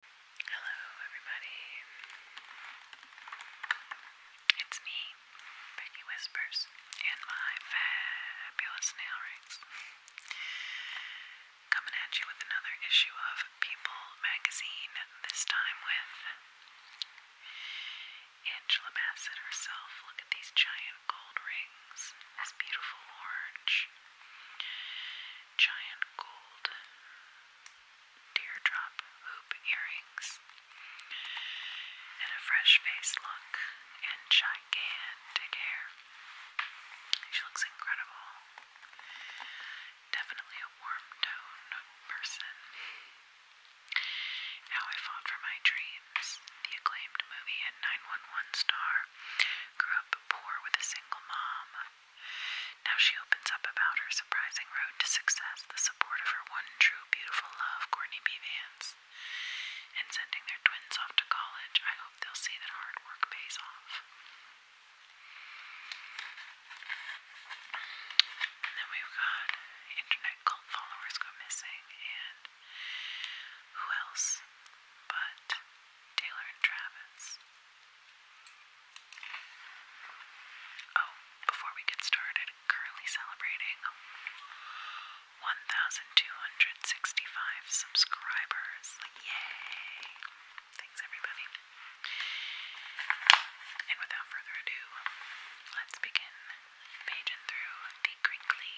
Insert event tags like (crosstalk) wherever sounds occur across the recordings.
Hello, everybody. It's me, Becky Whispers, and my fabulous nail rigs. Coming at you with another issue of People magazine, this time with Angela Bassett herself. Look at these giant gold rings, this beautiful orange. Giant gold Teardrop hoop earrings and a fresh face look and gigantic hair. She looks incredible. Definitely a warm tone person. How I Fought for My Dreams, the acclaimed movie at 911 star, grew up poor with a single mom, now she opens up about her surprising road to success, the support of her one true beautiful love, Courtney B. Vance. And sending their twins off to college, I hope they'll see that hard work pays off. And then we've got internet cult followers go missing, and who else but Taylor and Travis? Oh, before we get started, currently celebrating 1,265 subscribers. Yay! Thanks, everybody. And without further ado, let's begin paging through the crinkly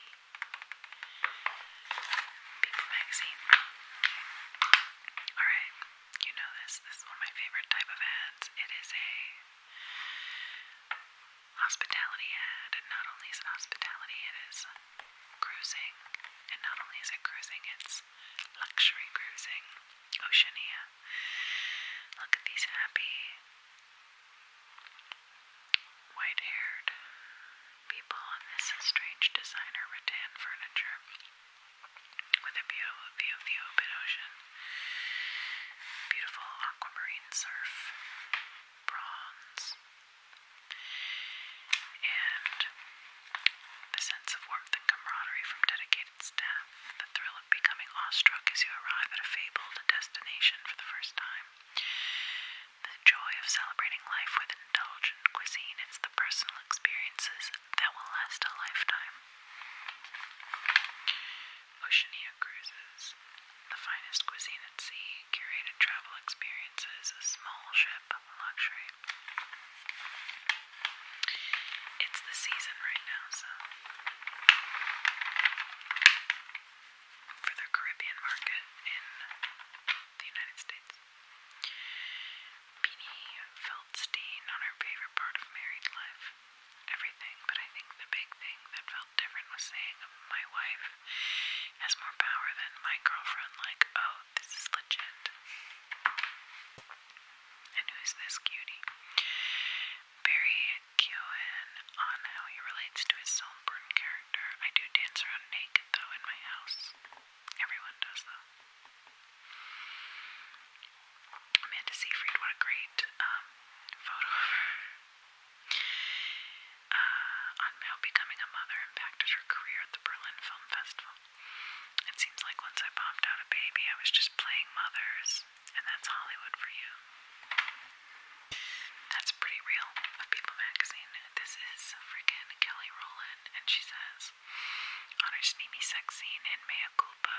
People magazine. Alright, you know this. This is one of my favorite type of ads. It is a hospitality ad, and not only is it hospitality, it is cruising. And not only is it cruising, it's luxury cruising. Oceania. Look at these happy white haired people, on this strange designer rattan furniture with a beautiful view of the open ocean, beautiful aquamarine surf, bronze, and the sense of warmth and camaraderie from dedicated staff, the thrill of becoming awestruck as you arrive at a fabled destination for the first time. The joy of celebrating life with indulgent cuisine, and the personal experiences that will last a lifetime. Oceania Cruises, the finest cuisine at sea, curated travel experiences, a small ship luxury. It's the season right now, so for the Caribbean market in the United States. Beanie felt stain on her favorite part of married life. Everything, but I think the big thing that felt different was saying my wife has more power than my girlfriend, like, oh, this is legit. And who's this cutie? Barry Keoghan on how he relates to his Saltburn character. I do dance around naked, though, in my house. Everyone does, though. Amanda Seyfried, what a great um, photo uh, on how becoming a mother impacted her career at the Berlin Film Festival. It seems like once I popped out a baby, I was just playing mothers, and that's Hollywood for you. That's pretty real People magazine. This is freaking Kelly Rowland, and she says, on her steamy sex scene in May mea culpa.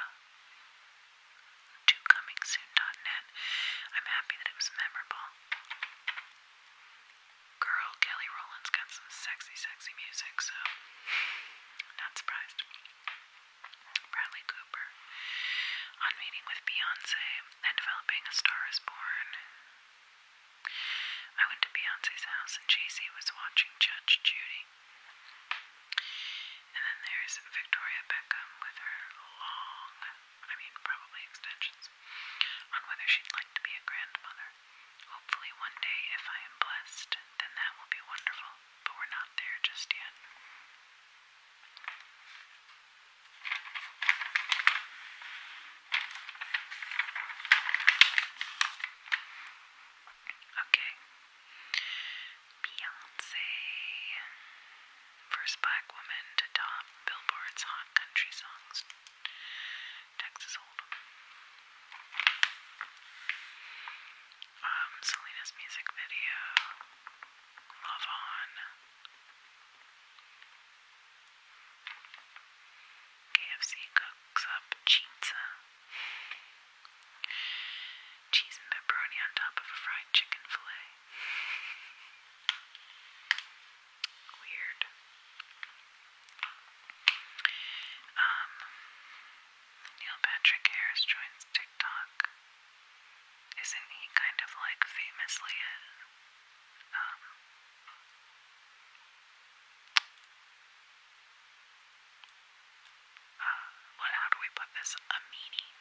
I'm happy that it was memorable. Girl, Kelly Rowland's got some sexy, sexy music, so (laughs) not surprised. Bradley Cooper. On meeting with Beyonce and developing A Star is Born. I went to Beyonce's house and JC was watching Judge Judy. And then there's Victoria Beckham with her long, I mean, probably extensions, on whether she'd like to be a grandmother. Hopefully, one day, if I am blessed, then that will be wonderful, but we're not there just yet. Okay, Beyonce, first black woman to top Billboard's Hot Country Songs, Texas Hold'em. Um, Selena's music video, Love On. KFC cooks up pizza. Cheese and pepperoni on top of a fried chicken fillet. Weird. Um, Neil Patrick Harris joins TikTok. Isn't he kind of like famously a um, uh, what? How do we put this? A meanie,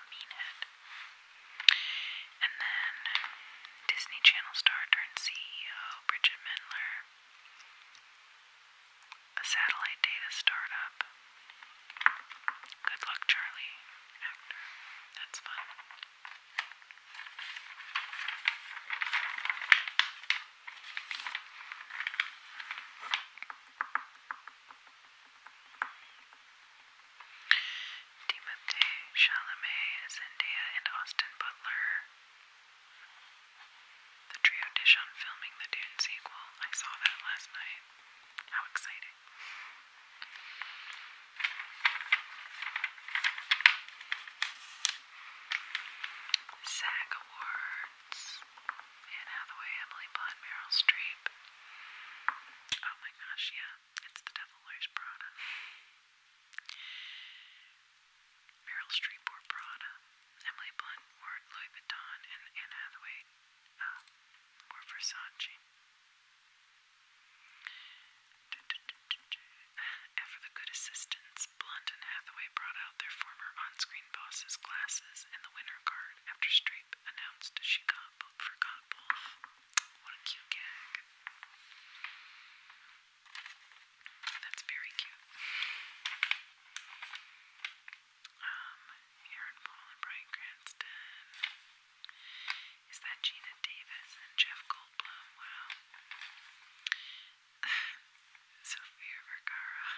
a meanhead. And then Disney Channel star turned CEO Bridget Mendler, a satellite data startup. Good luck, Charlie. That's fun. Timothée Chalamet, Zendaya, and Austin Butler. The trio dish on filming the Dune sequel. I saw that last night. How exciting! SAG Awards. Anne Hathaway, Emily Blunt, Meryl Streep. Oh my gosh, yeah, it's The Devil Wears Prada. Meryl Streep wore Prada, Emily Blunt wore Louis Vuitton, and Anne Hathaway uh, wore Versace. And for the good assistance, Blunt and Hathaway brought out their former on screen. Green Boss's glasses and the winner card after Streep announced she got both for Godball. What a cute gag. That's very cute. Um, Aaron Paul and Brian Cranston. Is that Gina Davis and Jeff Goldblum? Wow. (sighs) Sofia Vergara,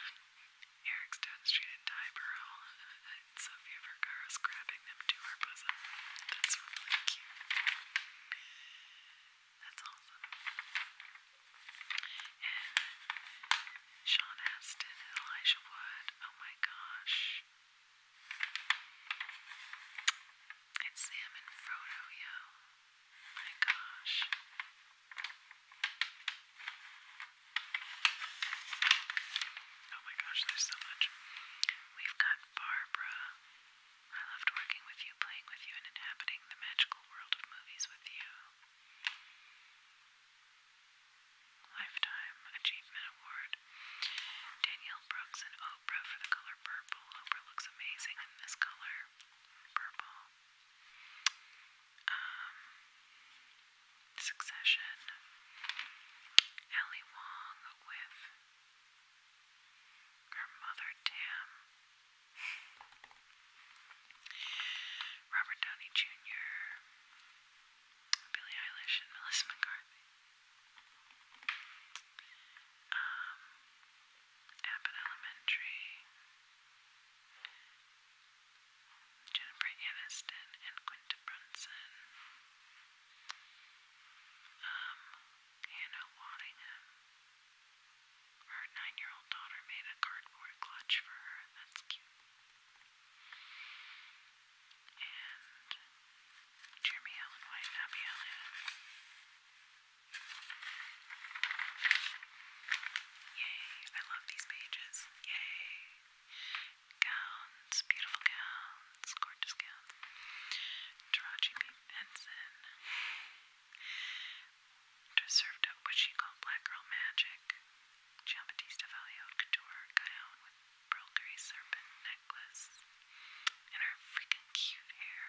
Eric's down the street in Tyboro, and Sofia Vergara's grabbing them to her bosom. That's really cute. That's awesome. And Sean Astin and Elijah Wood, oh my gosh. It's Sam and Frodo, yo. My gosh. Oh my gosh, there's so much. We've got Barbara. I loved working with you, playing with you, and inhabiting the magical world of movies with you. Lifetime Achievement Award. Danielle Brooks and Oprah for the color purple. Oprah looks amazing in this color. Purple um, Succession, Ali Wong with her mother Tam, Robert Downey Jr., Billie Eilish, and Melissa McCarthy. Um, Abbott Elementary, Jennifer Aniston and Quinta Brunson, um, Hannah Waddingham. Her nine-year-old daughter made a cardboard clutch for her. That's cute. And Jeremy Allen White and Abby Allen. Yay! I love these pages. Yay. Gowns, beautiful gowns, gorgeous gowns. Taraji P. Henson. Just served up what she called black girl magic. Giambattista Valli haute couture gown with pearl gray serpent necklace. And her freaking cute hair.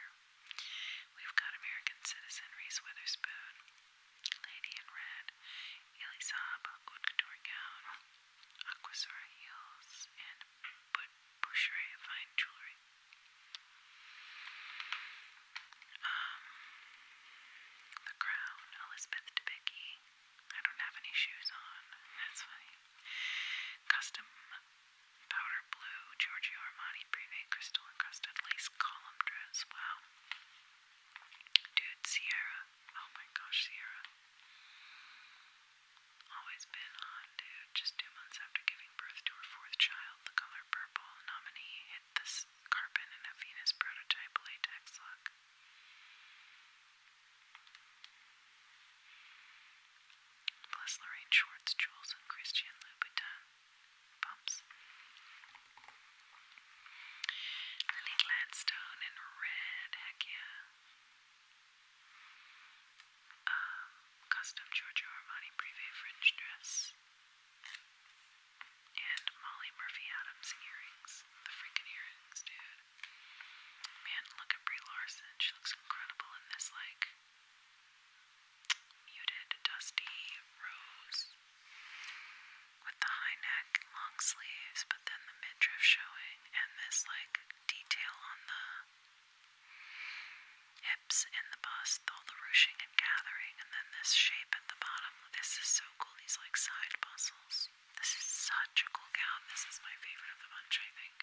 We've got American citizen Reese Witherspoon. Lady in Red, Elisab, Couture Gown, Aquasura Heels, and Boucherie Fine Jewelry. Um, The Crown, Elizabeth Debicki. I don't have any shoes on, that's funny. Custom Powder Blue, Giorgio Armani Privé Crystal Encrusted Lace Column Dress. Wow. Dude, Sierra. Oh my gosh, Sierra. Always been on, dude. Just two months after giving birth to her fourth child, the color purple nominee hit the carbon in a Venus prototype latex look. Plus Lorraine Schwartz, Jules, and Christian Louboutin pumps. Lily Gladstone in red, heck yeah. Um, custom Giorgio Armani Privé fringe dress. And Molly Murphy Adams earrings. The freaking earrings, dude. Man, look at Brie Larson. She looks incredible in this, like, muted, dusty rose with the high neck, long sleeves, but then the midriff showing, and this like detail on the hips and the bust, all the ruching and gathering, and then this shape at the bottom. This is so cool, these like side bustles. This is such a cool gown. This is my favorite of the bunch, I think.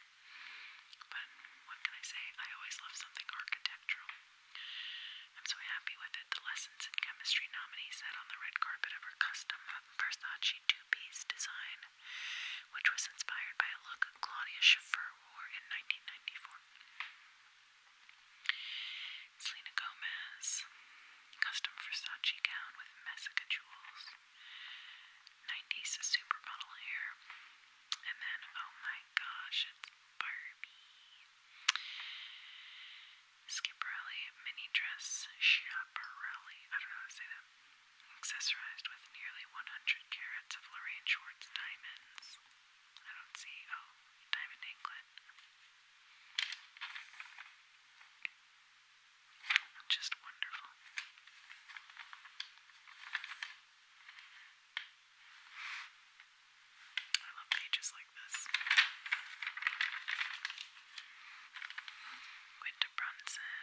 But what can I say? I always love something architectural. I'm so happy with it. The less Lessons Chemistry nominee sat on the red carpet of her custom uh, Versace two-piece design, which was inspired by a look Claudia Schiffer wore in 1994. Selena Gomez, custom Versace gown with Messica jewels, 90s supermodel hair, and then, oh my gosh, it's Barbie. Schiaparelli mini dress Schiaparelli, I don't know how to say that, accessorized with nearly 100 carats of Lorraine Schwartz diamonds. I don't see, oh, diamond anklet. Just wonderful. I love pages like this. Winter Brunson.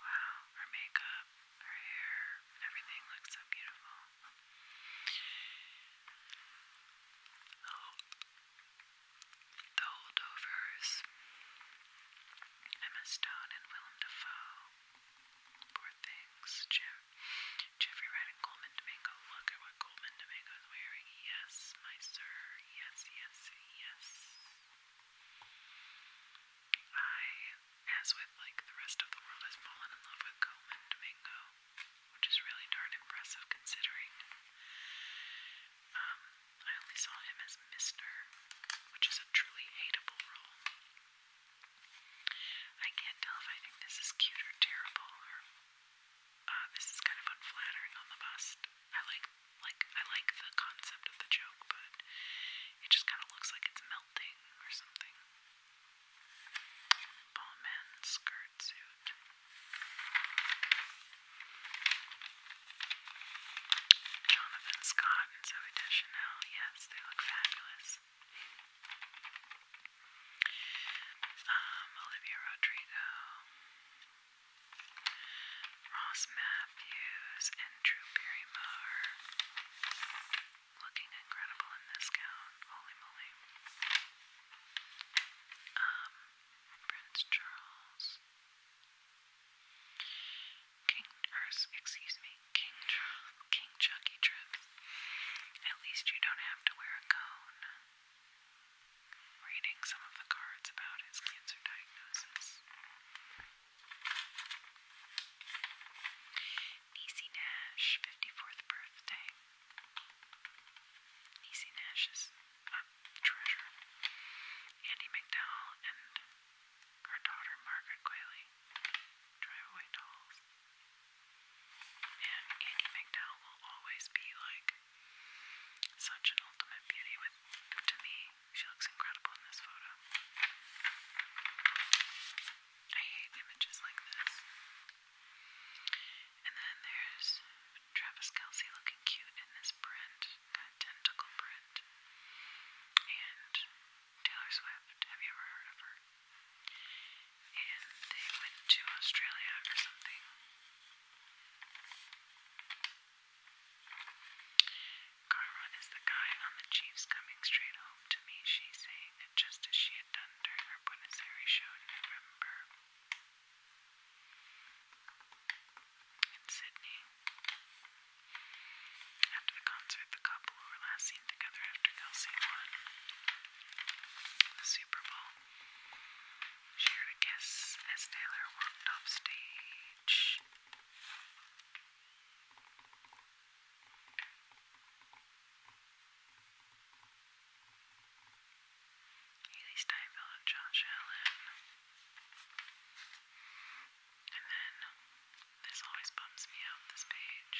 Wow, her makeup, her hair, everything looks so beautiful. Oh, the holdovers. Emma Stone and Willem Dafoe. Poor things. Jim, Jeffrey Wright and Coleman Domingo look at what Goldman Domingo is wearing. Yes, my sir. Yes, yes, yes. I, as with like the rest of the world, has fallen in love with Goldman Domingo, which is really darn impressive considering. Um, I only saw him as Mister, which is a truly hateable role. I can't tell if I think this is cute or terrible or uh, this is kind of unflattering on the bust. I like like I like the concept of the joke, but it just kind of looks like it's melting or something. Ballman skirt suit. Jonathan Scott and Zoe Deschanel, yes, they look fabulous. Um, Olivia Rodrigo. Ross Matthews and Drew Barrymore. Looking incredible in this gown. Holy moly. Um, Prince Charles. King, or excuse me, King Charles, King Chucky Trips. At least you don't have to wear a cone reading some of the cards about his cancer diagnosis. Niecy Nash, 54th birthday. Niecy Nash treasure. Andy McDowell and her daughter Margaret Quayle drive away dolls. And Andy McDowell will always be like such an ultimate beauty to me. She looks incredible in this photo. I hate images like this. And then there's Travis Kelsey looking cute in this print, that tentacle print. And Taylor Swift, have you ever heard of her? And they went to Australia or something Carmon is the guy on the Chiefs coming straight home to me, she's saying it just as she had done during her Buenos Aires show in November. In Sydney. After the concert, the couple were last seen together after Kelsey won the Super Bowl shared a kiss as Taylor walked off stage. Haley Steinfeld and Josh Allen. And then, this always bums me out, this page.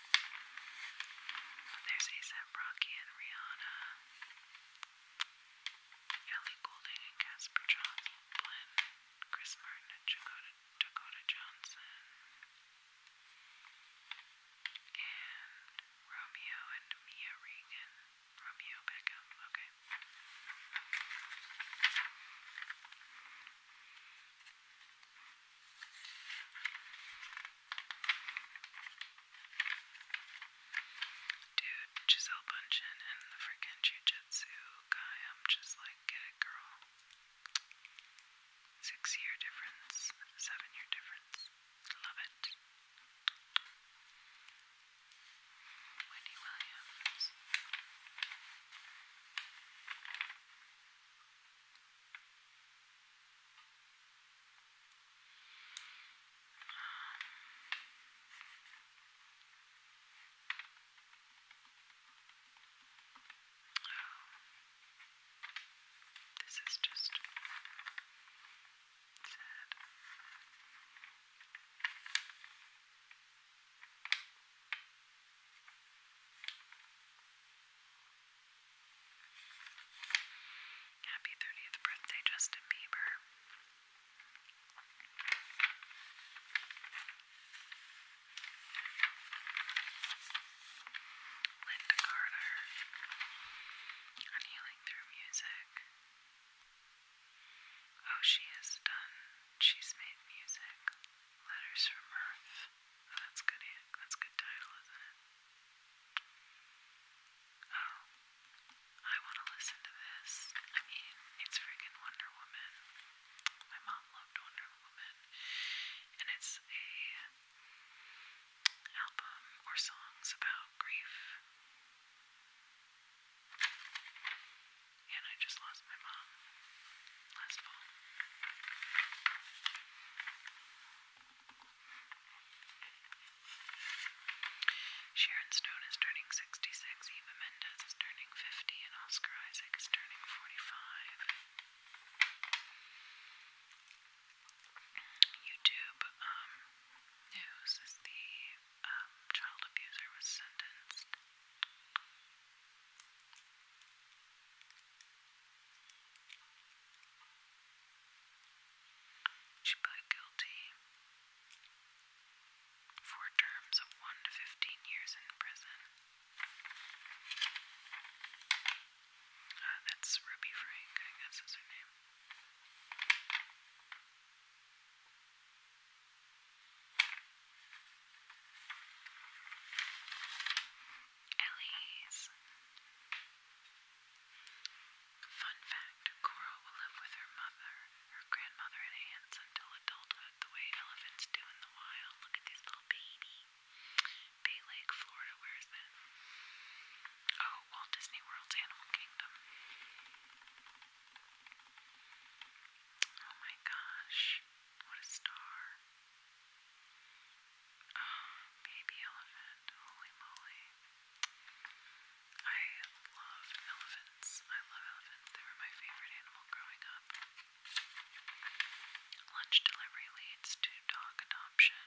Oh, there's ASAP Rocky and Rihanna. Ellie Goulding and Casper Joplin. Chris Martin and Dakota, Dakota Johnson. And Romeo and Mia Regan. Romeo Beckham, okay. Dude, Giselle Bundchen and the freaking jujitsu guy, I'm just like, get it, girl. Six year difference, seven year difference. Love it. Wendy Williams. This is just sad. Wow. Happy 30th birthday, Justin Bieber. Linda Carter Healing Through Music. Oh, she has done, she's made music. Letters from Earth. Oh, that's good, that's good title, isn't it? Oh, I want to listen to this. I mean, it's friggin' Wonder Woman. My mom loved Wonder Woman, and it's a album or songs about grief. And I just lost my mom last fall. Sharon Stone is turning 66, Eva Mendes is turning 50, and Oscar Isaac is turning 45. YouTube um, news the um, child abuser was sentenced. She pled guilty for terms of 1 to 15 years in prison. Uh, that's Ruby Frank, I guess is her name. Ellie's. Fun fact Coral will live with her mother, her grandmother, and aunts until adulthood, the way elephants do in the wild. Look at this little baby. Bay Lake, Florida, where is that? Oh, Walt Disney World's Animal Kingdom. Oh my gosh, what a star. Oh, (gasps) baby elephant, holy moly. I love elephants. I love elephants. They were my favorite animal growing up. Lunch delivery leads to dog adoption.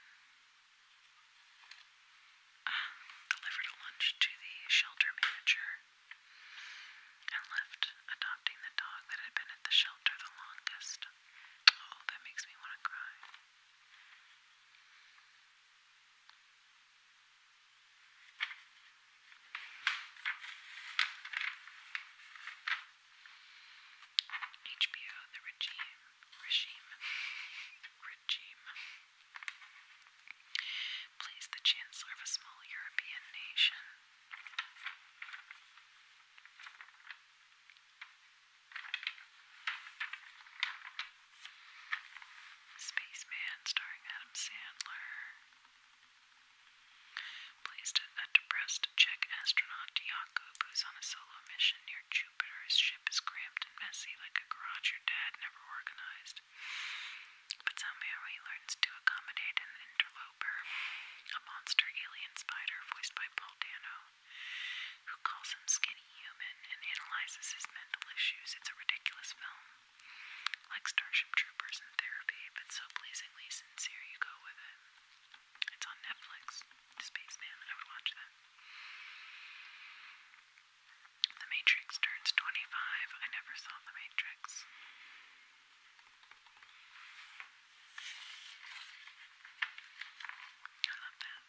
Um, delivered a lunch to the shelter manager and left adopting the dog that had been at the shelter the longest. Oh, that makes me want to cry. HBO The Regime Regime Regime plays the Chancellor of a small European nation. Spaceman starring Adam Sandler placed a depressed Czech astronaut Jakub who's on a solo mission near Jupiter. His ship is cramped and messy like a garage your dad never organized. But somehow he learns to accommodate an interloper, a monster alien spider voiced by Paul Dano who calls him skinny human and analyzes his mental issues. It's a ridiculous film. Like Starship Troopers and Therapy, but so pleasingly sincere you go with it. It's on Netflix. Spaceman, I would watch that. The Matrix turns 25. I never saw The Matrix. I love that.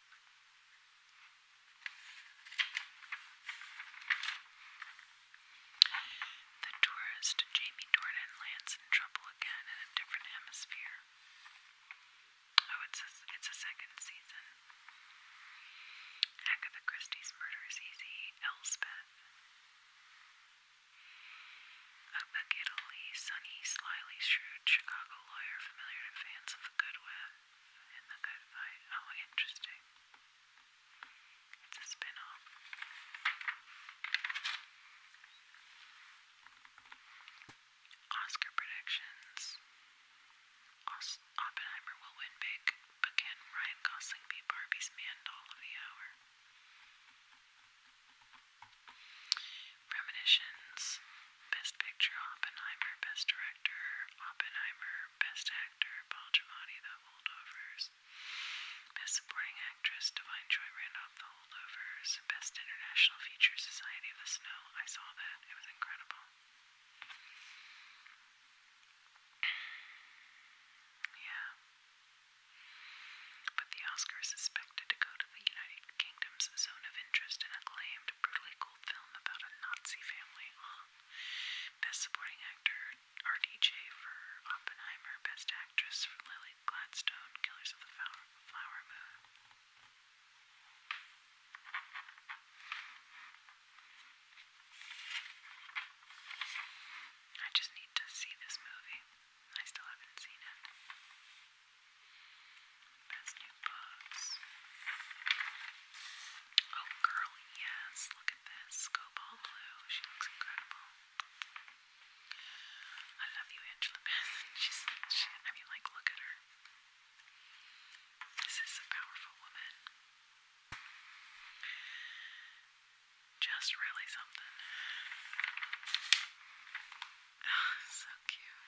The tourist Jamie Dornan lands in trouble again in a different hemisphere. Oh, it's a, it's a second season. Agatha Christie's Murder is Easy, Elspeth. A baguettely, sunny, slyly shrewd Chicago lawyer familiar to fans of the good web. Oh, interesting. It's a spin Oscar predictions. Oppenheimer will win big, but can Ryan Gosling be Barbie's man doll of the hour? Premonitions. Best Picture Oppenheimer, Best Director Oppenheimer, Best Actor Paul Giamatti, The Holdovers, Best Supporting Actress Divine Joy Randolph, The Holdovers, Best International Feature Society of the Snow. I saw that, it was incredible. Yeah. But the Oscars suspected to go to the United Kingdom's zone of interest and acclaimed, brutally musical film about a Nazi family. Best supporting actor, RDJ for Oppenheimer. Best actress for Lily Gladstone, Killers of the Flower Moon. I just need to see this movie. I still haven't seen it. Best new books. Oh, girl, yes. Look at this. Cobalt Blue. She looks incredible. I love you, Angela (laughs) She's, I mean, like, look at her. This is a powerful woman. Just really something. (laughs) so cute.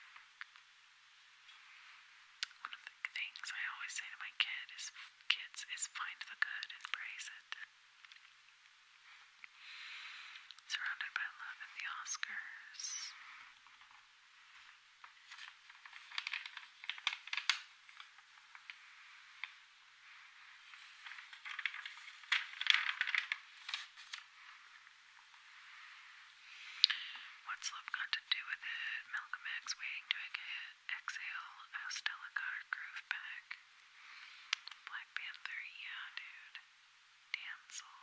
One of the things I always say to my kid is, kids is find the good and praise it. Surrounded by love and the Oscars. What's love got to do with it? Malcolm X waiting to exhale. How groove back. Black Panther, yeah, dude. Damsel.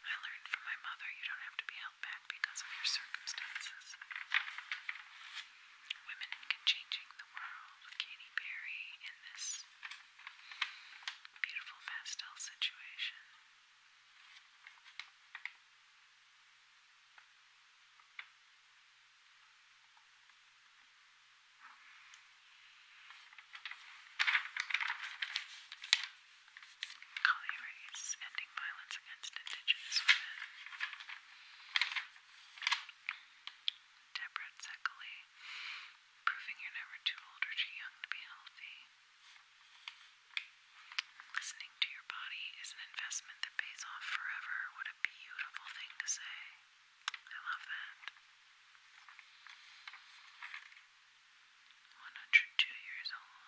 I learned from my mother you don't have to be held back because of your circumstances. Women in Changing the World, Katy Perry, in this beautiful pastel situation. Collie Ending Violence Against Indigenous Women. Deborah Zekley, proving you're never too old or too young to be healthy. Listening to your body is an investment that pays off forever. What a beautiful thing to say. I love that. 102 years old.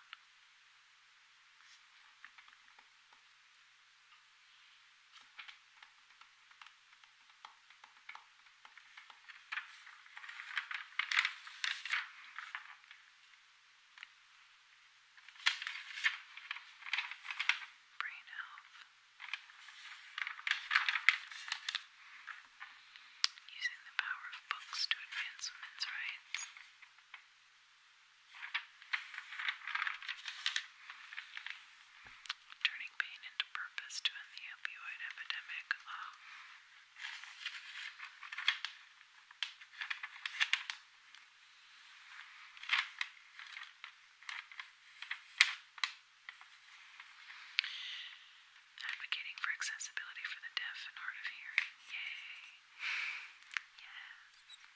Brain health. Using the power of books to advance women's rights. Turning pain into purpose to end the opioid epidemic. Advocating for accessibility for the deaf and hard of hearing. Yay! Yes.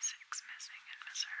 Six missing in Missouri.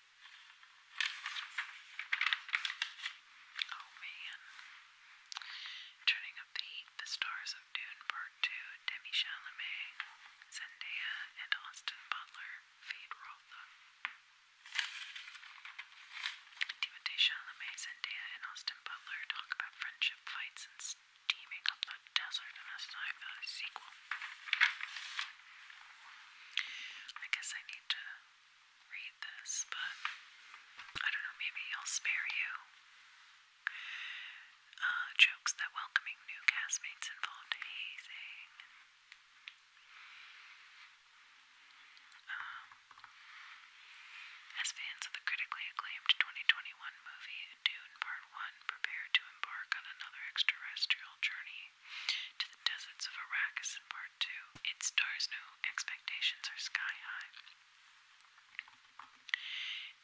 Oh man. Turning up the heat, the stars of Dune Part 2, Demi Chalamet, Zendaya, and Austin Butler feed Rotha. Timothée Chalamet, Zendaya, and Austin Butler talk about friendship fights and steaming up the desert in a sci-fi sequel. I guess I need to read this, but I don't know, maybe I'll spare you uh, jokes that welcoming new castmates involved um, as fans of the critically acclaimed 2021 movie Dune Part 1 prepare to embark on another extraterrestrial journey to the deserts of Arrakis and Part it stars new expectations are sky high.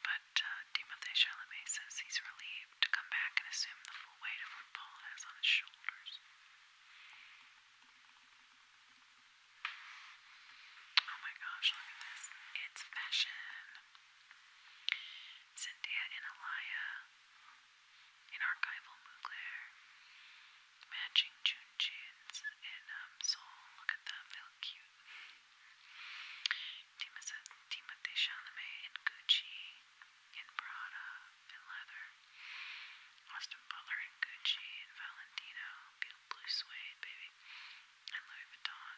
But uh, Timothée Chalamet says he's relieved to come back and assume the full weight of what Paul has on his shoulders. Oh my gosh, look at this. It's fashion. Cynthia and Elia in archival Mugler, matching Junjins in um, Seoul. Look at them, they look cute. Timothée Chalamet in Gucci, in Prada, in leather. Austin Butler in Gucci, in Valentino, blue suede, baby, and Louis Vuitton.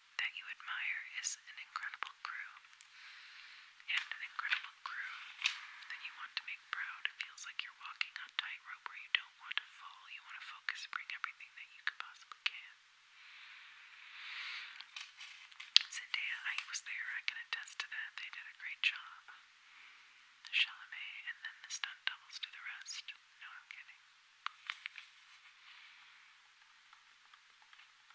that you admire is an incredible crew. And an incredible crew that you want to make proud. It feels like you're walking on tightrope where you don't want to fall. You want to focus, bring everything that you could possibly can. Zendaya, I was there. I can attest to that. They did a great job. Chalamet, and then the stunt doubles do the rest. No, I'm kidding.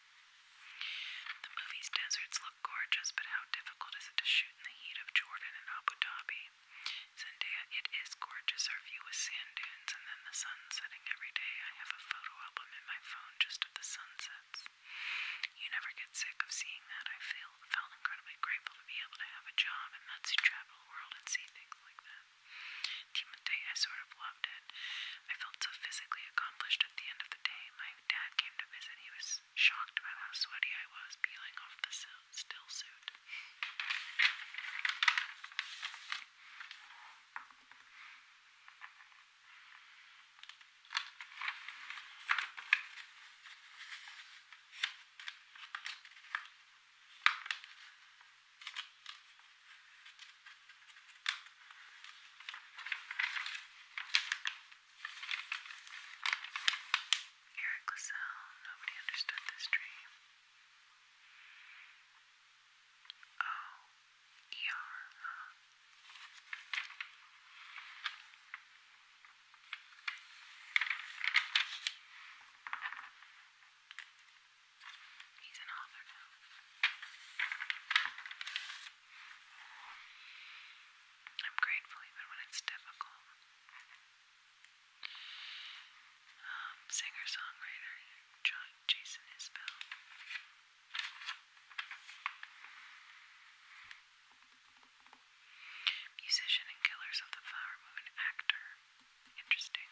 The movie's deserts look gorgeous, but how difficult is it to shoot in the heat of Jordan and Abu Dhabi? Zendaya, it is gorgeous. Our view is sand dunes and then the sun setting every day. I have a photo album in my phone just of the sunsets. You never get sick of seeing that. I feel felt incredibly grateful to be able to have a job and that's to travel the world and see things like that. Timothy, I sort of loved it. I felt so physically accomplished at the end of the day dad came to visit, he was shocked by how sweaty I was peeling off the still suit. Eric LaSalle, nobody understood this dream. Oh, ER, huh? He's an author now. I'm grateful even when it's difficult. Um, singer songwriter John Jason Isbell. Musician and Killers of the Flower Moon actor. Interesting.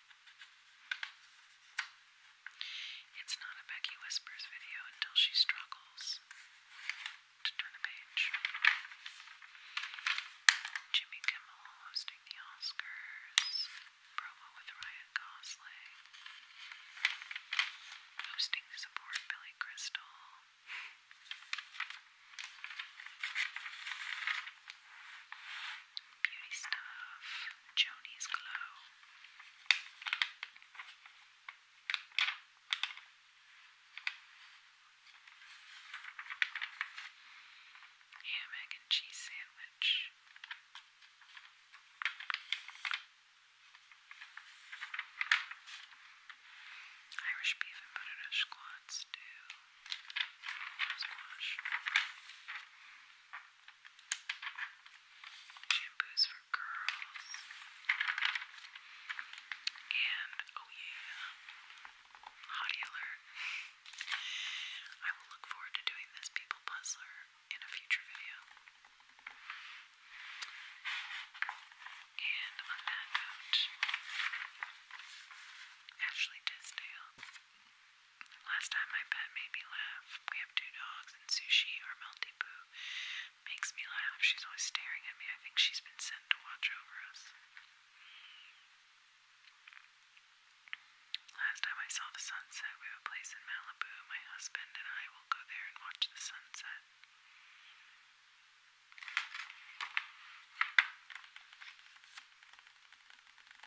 It's not a Becky Whispers video until she struggles to turn a page. Jimmy Kimmel hosting the Oscars, promo with Ryan Gosling, hosting support Billy Crystal. Beauty stuff, Joni's Glow. Hammock and cheese sandwich. Irish beef and potato squats too. Squash shampoos for girls, and oh yeah, hottie alert. I will look forward to doing this people puzzler in a future video. And on that note, Ashley Tisdale Last time my pet made me laugh. We have two dogs, and Sushi, or Malibu makes me laugh. She's always staring at me. I think she's been sent to watch over us. Last time I saw the sunset, we have a place in Malibu. My husband and I will go there and watch the sunset.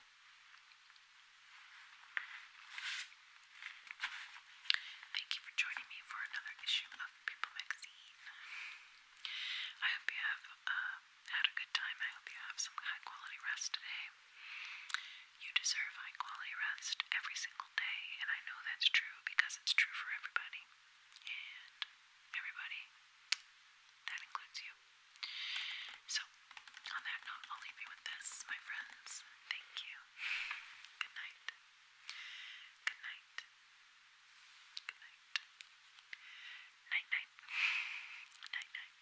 Thank you for joining me for another issue of People Magazine. I hope you have um, had a good time. I hope you have some high quality rest today. You deserve high quality rest every single day, and I know that's true because it's true for everybody. And everybody, that includes you. So, on that note, I'll leave you with this, my friends. Thank you. Good night. Good night. Good night. Night night. Night night.